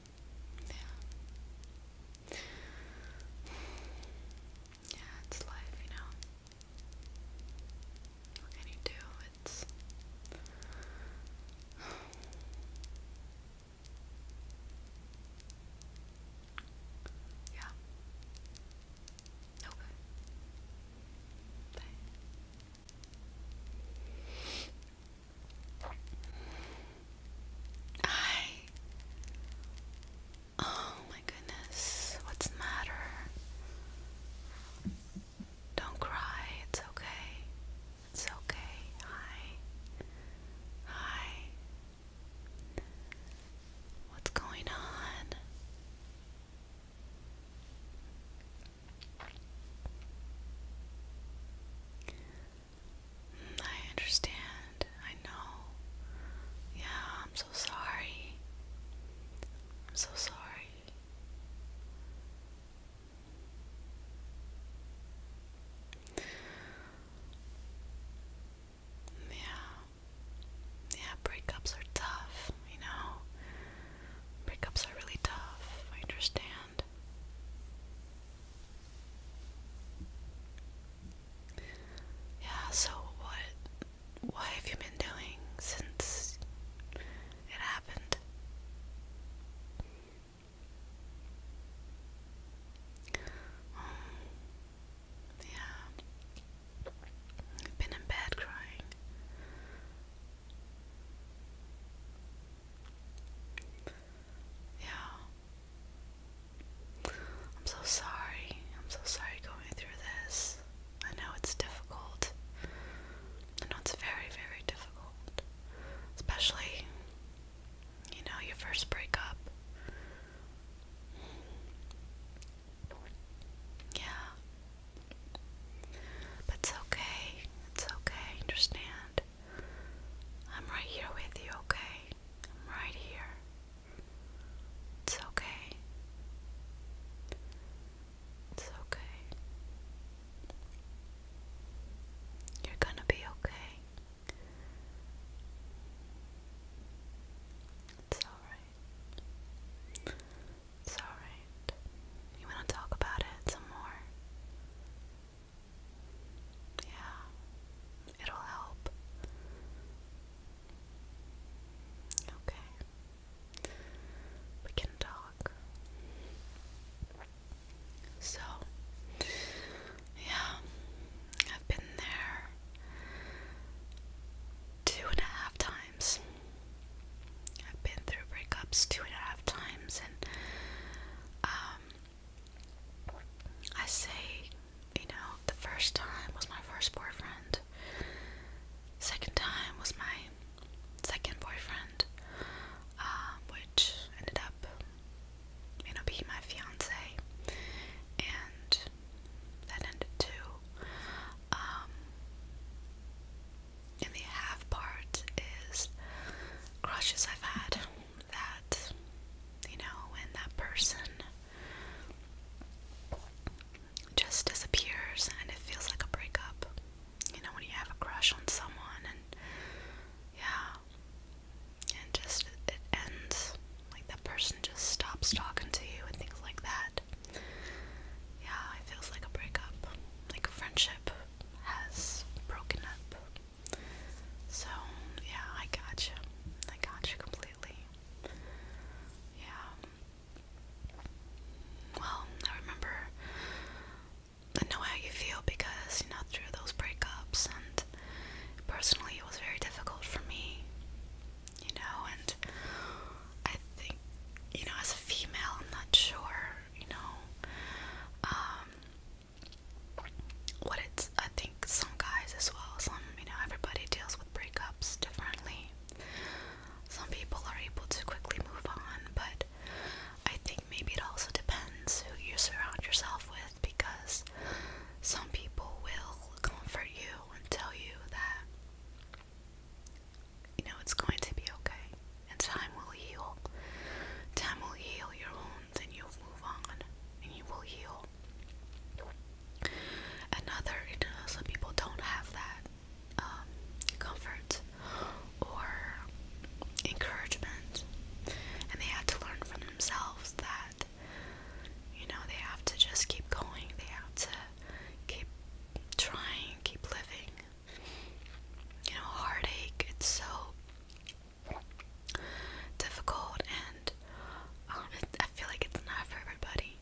Yeah. Yeah, it's life, you know. What can you do? It's Yeah. Okay. Bye. I. Oh my goodness, what's the matter? Don't cry, it's okay. It's okay. Hi. Hi. What's going on? I understand. I know. Yeah, I'm so sorry. I'm so sorry. Yeah. Yeah, breakups are tough, you know? Breakups are really tough. I understand. Yeah, so what what have you been doing since it happened? Um, yeah. I've been in bed crying. Yeah. I'm so sorry. I'm so sorry going through this. I know it's difficult. I know it's very, very difficult. Especially, you know, your first breakup. Yeah. But it's okay. It's okay. I understand. I'm right here with you, okay? I'm right here. It's okay. It's okay. You're gonna be okay. It's alright. It's alright. You wanna talk about it some more? Yeah, it'll help. Okay, we can talk. So, yeah, I've been there two and a half times. I've been through breakups two and a half times, and um, I say, you know, the first time was my first boyfriend. Second time was my second boyfriend, uh, which ended up, you know, being my fiance, and that ended too. Um, and the half part is crushes I've had that, you know, when that person just disappears and it feels like a breakup. You know, when you have a crush on someone and yeah, and just it ends. Like that person just stops talking to you and things like that. Yeah, it feels like a breakup. Like a friendship has broken up. So, yeah, I gotcha. I gotcha completely. Yeah. Well, I remember. I know how you feel because, you know, through those breakups, and personally, it was very difficult for me, you know, and I think, you know, as a female, I'm not sure, you know, um, what it's I think some guys as well, some you know, everybody deals with breakups differently. Some people are able to quickly move on, but I think maybe it also depends who you surround yourself with because some people will comfort you and tell you that you know it's going to be okay and time will heal. Time will heal your wounds, and you'll move on, and you will heal. Another, you know, some people don't have that um, comfort or encouragement, and they had to learn for themselves that you know they have to just keep going, they have to keep trying, keep living. You know, heartache, it's so difficult and um, I feel like it's not for everybody.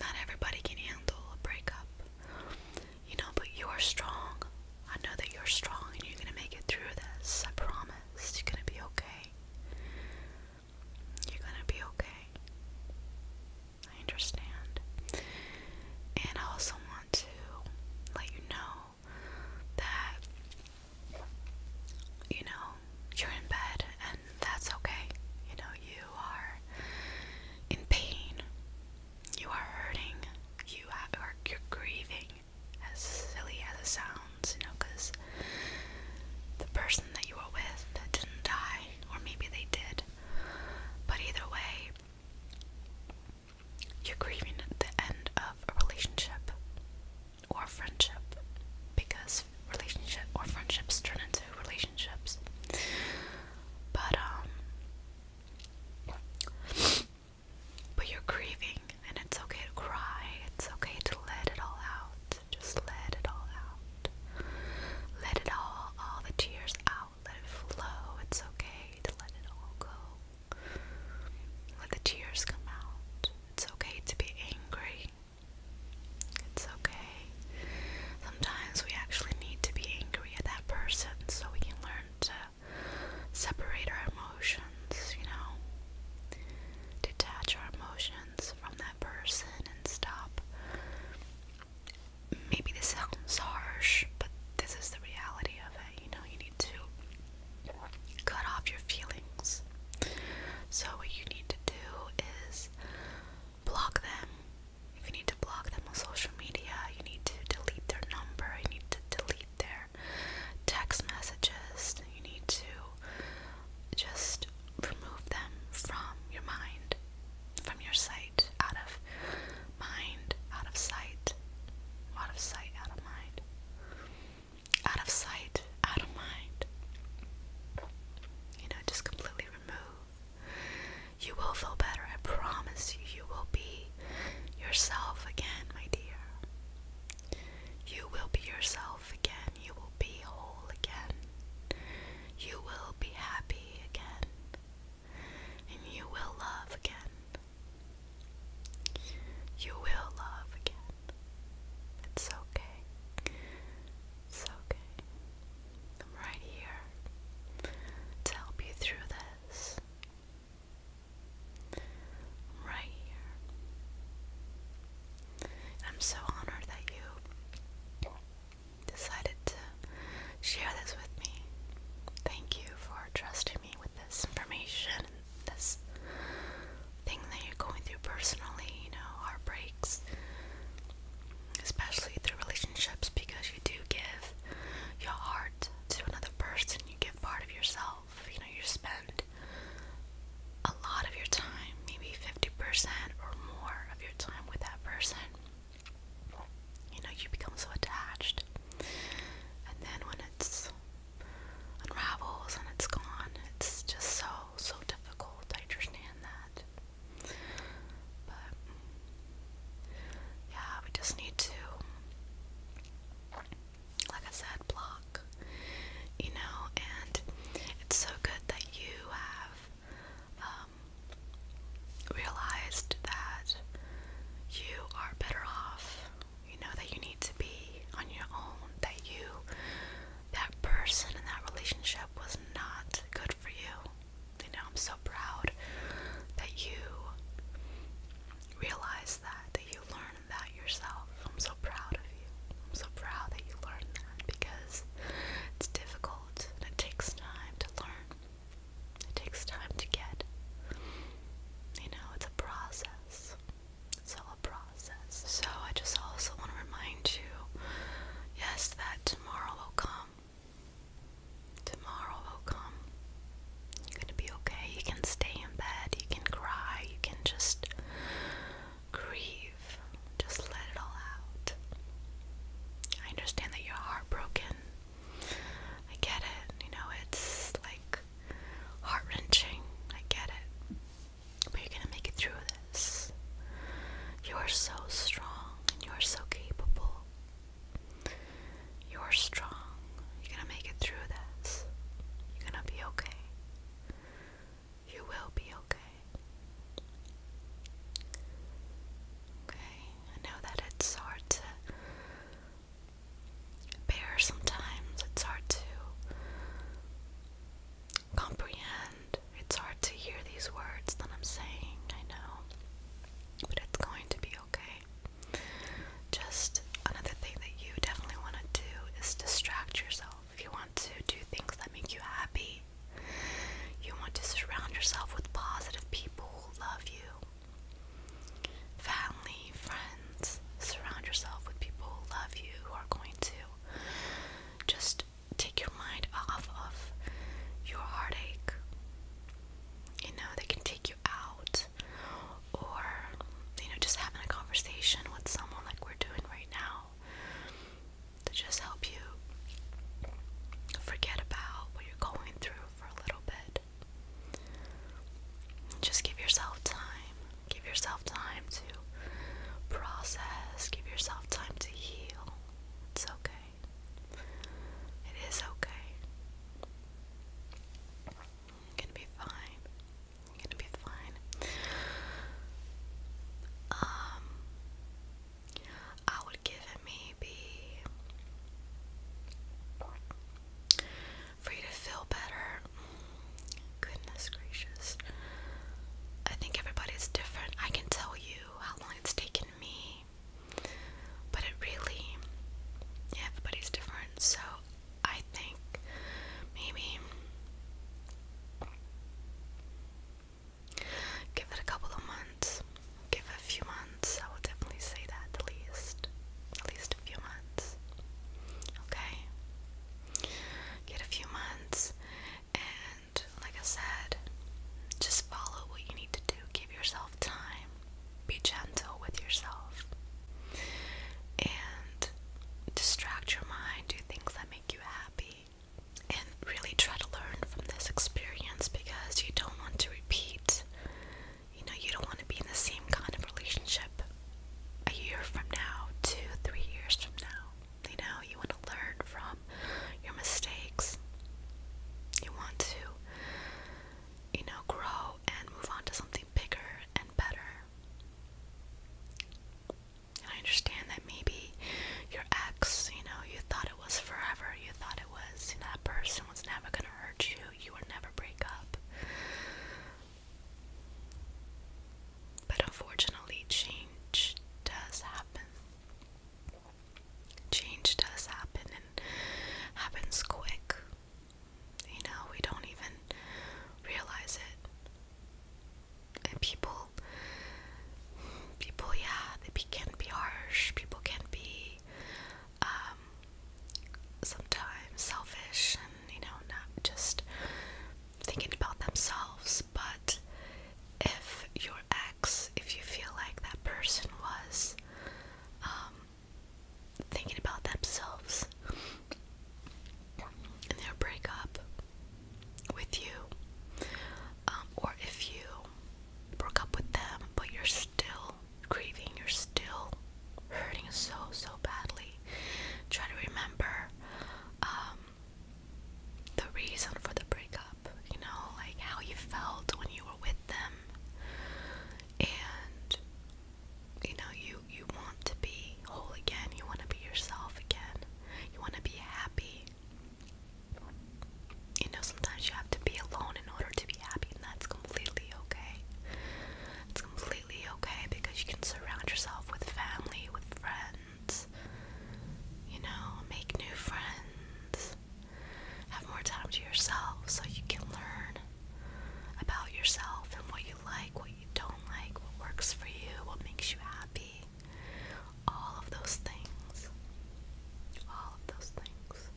Not everybody can handle a breakup. You know, but you are strong. I know that you're strong and you're gonna make it through this. I promise. You're gonna be okay. You're gonna be okay. I understand. And I also want to let you know that you know you're in bed and that's okay. You know, you are in pain, you are hurting, you are you're grieving, as silly as it sounds, you know, because the person that you were with didn't die, or maybe they did, but either way, you're grieving the end of a relationship or friendship because relationship or friendships turn into relationships. But um, but you're grieving and it's okay to cry. It's okay to let it all out. Just let it all out. Let it all all the tears out. Let it flow. It's okay to let it all go. Let the tears come out. It's okay to be angry. It's okay. Sometimes we actually need to be angry at that person so we can learn to separate our emotions, you know? Detach our emotions from that person and stop. Maybe this sounds harsh, but this is the reality of it. You know, you need to cut off your feelings. So, what you need to do is block them. If you need to block them on social media, you need to delete their number, you need to delete their text messages, you need to just remove them from your mind, from your sight, out of mind, out of sight, out of sight, out of mind, out of sight, out of mind. You know, just completely remove. You will feel better, I promise you. You will be yourself again, my dear. You will be yourself again. You will be whole again. You will be happy again. And you will love again. You will love again. It's okay. It's okay. I'm right here to help you through this. right here. I'm so honored that you decided to share this with me. Thank you for trusting with this information and this thing that you're going through personally, you know, heartbreaks, especially through relationships, because you do give your heart to another person, you give part of yourself, you know, you spend a lot of your time, maybe 50% or more of your time with that person. You know, you become so attached, and then when it's unravels and it's gone. It's just so, so difficult. I understand that. But, yeah, we just need to, like I said, block, you know, and it's so good that you have um, realized that you are better off you know that you need to be on your own, that you, that person and that relationship was not good for you. You know, I'm so proud that you realize that, that you learned that yourself. I'm so proud of you. I'm so proud that you learned that because it's difficult and it takes time to learn. It takes time to get. You know, it's a process. It's all a process. So I just also want to remind you, yes, that tomorrow will come. Tomorrow will come. You're gonna be okay. You can stay in bed. You can cry. You can just grieve. Just let it all out. I understand that you're heartbroken. I get it. You know, it's like heart wrenching. I get it. But you're gonna make it through this. You are so strong and you are so capable. You're strong. You're gonna make it through this. You're gonna be okay. You will be okay. Okay, I know that it's hard to bear sometimes. It's hard to comprehend. It's hard to hear these words that I'm saying, I know. But it's going to be okay. Just another thing that you definitely want to do is distract yourself. If you want to do things that make you happy, you want to surround yourself with positive people who love you, family, friends. Surround yourself with people who love you, who are going to just take your mind off of your heartache. You know, they can take you out, or you know, just having a conversation with someone like we're doing right now to just help you forget about what you're going through for a little bit. Just give yourself time. Give yourself time to process. Give yourself time to heal. It's okay. It is okay. gonna be fine. gonna be fine. Um, I would give it maybe for you to feel better. Goodness gracious. I think everybody's different. I can tell you how long it's taken me, but it really, everybody's different. So I think maybe give it a couple of months, give a few months. I will definitely say that at least. At least a few months. Okay? Get a few months and, like I said, just follow what you need to do. Give yourself time. Be gentle with yourself. And distract your mind. Do things that make you happy. And really try to learn from this experience because you don't want to repeat you know, you don't want to be in the same kind of relationship a year from now, two, three years from now. You know, you want to learn from your mistakes. You want to, you know, grow and move on to something bigger and better. I understand that maybe your ex, you know, you thought it was forever. You thought it was, you know, that person was never going to hurt you. You were never break up. But unfortunately, change does happen. Change does happen and happens quick. You know, we don't even realize it. And people, people, yeah, they be, can be harsh. People can be um, sometimes selfish and, you know, not just thinking about themselves. But if your ex, if you feel like that person was um, thinking about themselves in their breakup with you, um, or if you broke up with them but you're still grieving, you're still hurting so, so badly. Try to remember um, the reason for the breakup, you know, like how you felt when you were with them. And, you know, you, you want to be whole again, you want to be yourself again, you want to be happy. You know, sometimes you have to be alone in order to be happy, and that's completely okay. It's completely okay because you can surround yourself with family, with friends, you know, make new friends, have more time to yourself so you can learn about yourself and what you like, what you don't like, what works for you, what makes you happy. All of those things. All of those things.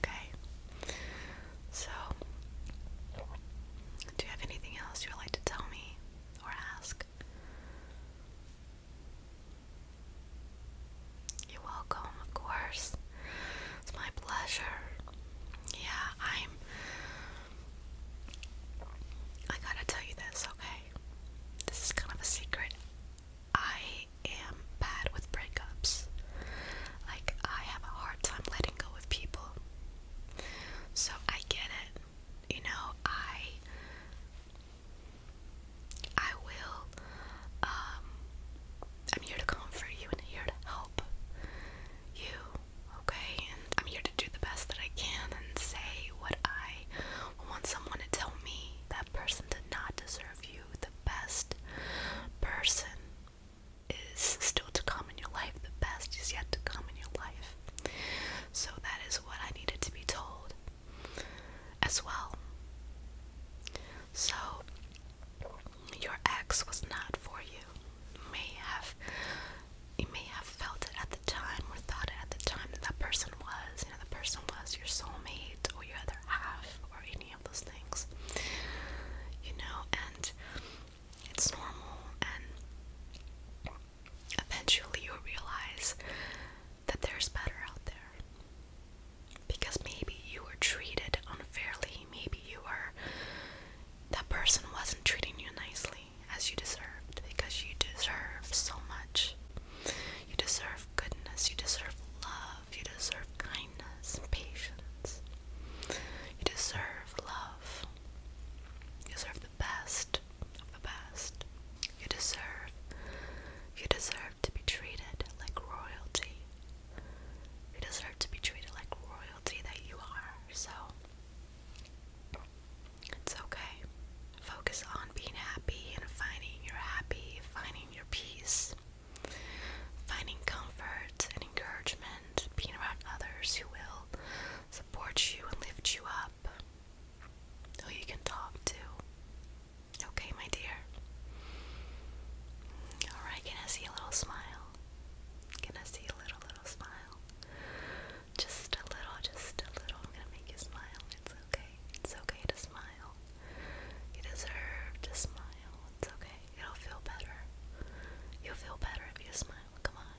Okay. So, do you have anything else you would like to tell me or ask? You're welcome, of course. It's my pleasure. Yeah, I'm. I gotta tell you this, okay? this is kind of a secret. I am bad with breakups. Like, I have a hard time letting go of people. So, I get it. You know, I. I will. Um, I'm here to comfort you and here to help you, okay? And I'm here to do the best that I can and say what I I want someone to tell me that person did not deserve you. The best person is still to come in your life. The best is yet to come in your life. So that is what I needed to be told as well. So your ex was not for you. may have may have felt it at the time or thought at the time that that person was. You know, the person was your soulmate or your other half or any of those things. You know, and it's normal. And eventually you realize that there's better out there. Because maybe you were treated unfairly. Maybe you were. That person wasn't treating you nicely as you deserved because you deserved so much. You deserve goodness, you deserve love, you deserve kindness and patience. You deserve love. You deserve the best of the best. You deserve you deserve to be treated like royalty. You deserve to be treated like royalty that you are. So it's okay. Focus on being happy and finding your happy, finding your peace, finding comfort and encouragement, being around others who will support you and lift you up, who you can talk to. Okay, my dear. Alright, can I see a little smile? Can I see a little, little smile? Just a little, just a little. I'm gonna make you smile. It's okay. It's okay to smile. You deserve to smile. It's okay. you will feel better. You'll feel better if you smile. Come on.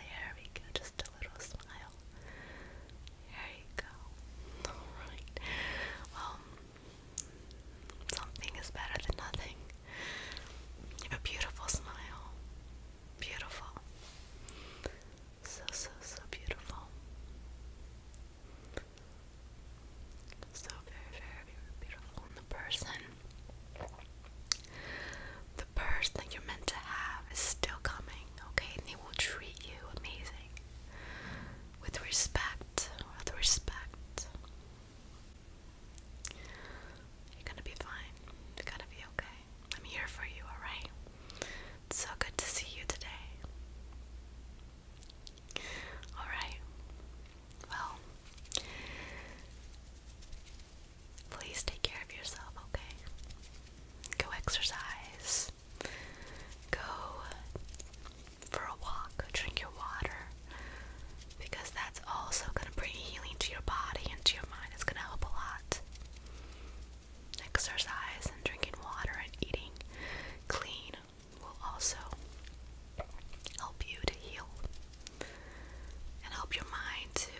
There we go. Just a little smile. There you go. Alright. Well, something is better than nothing. You have a beautiful smile. Beautiful. So, so, so beautiful. So very, very beautiful. And the person, the person that you're meant to have is still coming, okay? And they will treat you amazing. With respect, with respect. You're gonna be fine. You're gonna be okay. I'm here for you, alright? so good to see you today. Alright. Well, please take care of yourself, okay? Go exercise. Go for a walk. Drink your water. Because that's also going to bring healing to your body and to your mind. It's going to help a lot. Exercise and drinking water and eating clean will also help you to heal and help your mind to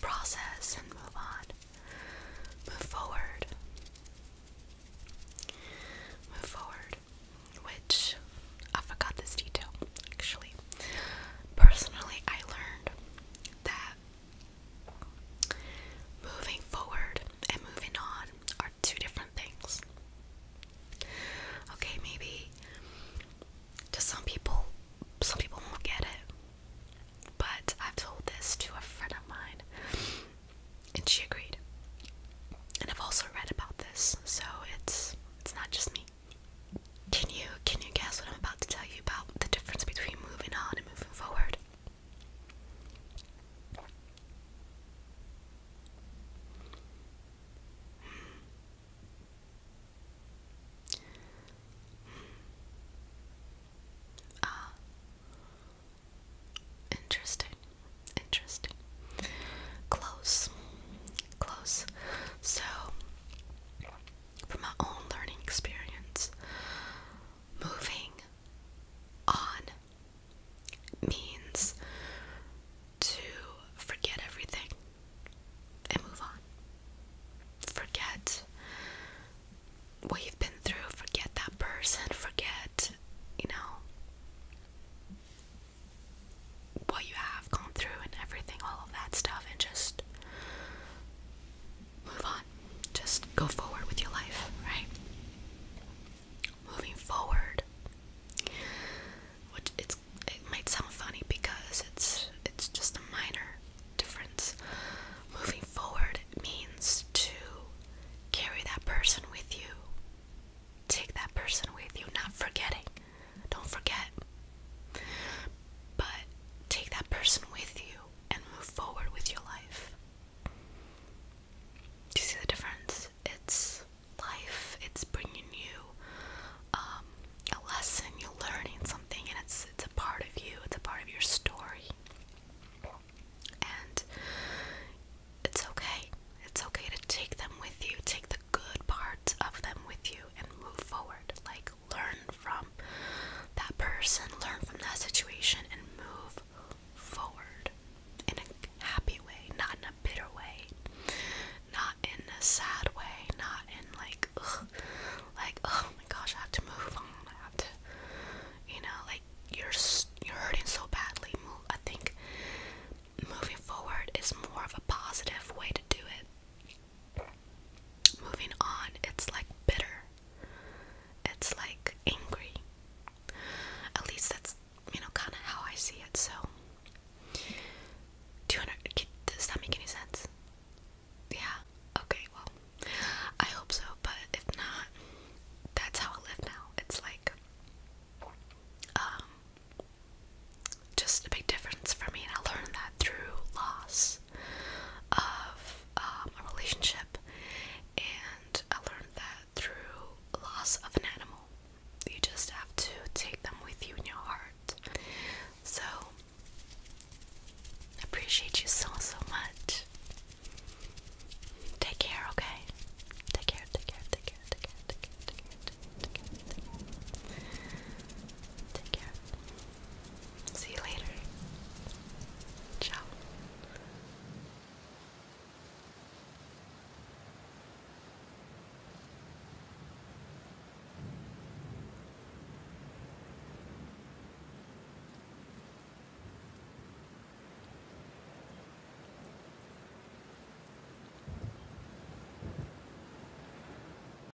process and move on, move forward, move forward. Which I forgot this detail actually. Personally, I learned that moving forward and moving on are two different things. Okay, maybe to some people, some people won't get it. But I've told this to a friend of mine, and she agreed. And I've also read about this, so it's it's not just me. Can you can you guess what I'm about to tell you about the difference between moving on and moving forward? Hmm. Ah. Interesting. Interesting. Close. Close. So from my own learning experience. Moving on means to forget everything and move on. Forget what you've been through, forget that person, forget, you know, what you have have through and everything, all of that stuff, and just move on. Just go forward with your life, right? Moving forward, which it's it might sound funny because it's it's just a minor difference. Moving forward means to carry that person with you, take that person with you, not forgetting don't forget. But take that person with you and move forward with your life. Do you see the difference? It's life. It's bringing you um, a lesson. You're learning something, and it's it's a part of you. It's a part of your story. And it's okay. It's okay to take them with you. Take the good parts of them with you and move forward. Like learn from that person, learn from that situation, and move forward in a happy way, not in a bitter way, not in a sad way, not in like, like oh my gosh, I have to move on, I have to, you know, like you're you're hurting so badly. Move, I think moving forward is more of a positive way to do it. Moving on, it's like bitter. It's like angry. At least that's, you know, kind of how I see it. So, 200. Does that make any sense? Yeah. Okay, well, I hope so, but if not, that's how I live now. It's like, um, just a big difference for me, and I learned that through loss of um, a relationship, and I learned that through loss of an animal, you just have to take them with you in your heart. So, appreciate you so, so much. Take care, okay? take care, take care, take care, take care, take care, take care. Take care. See you later. Ciao.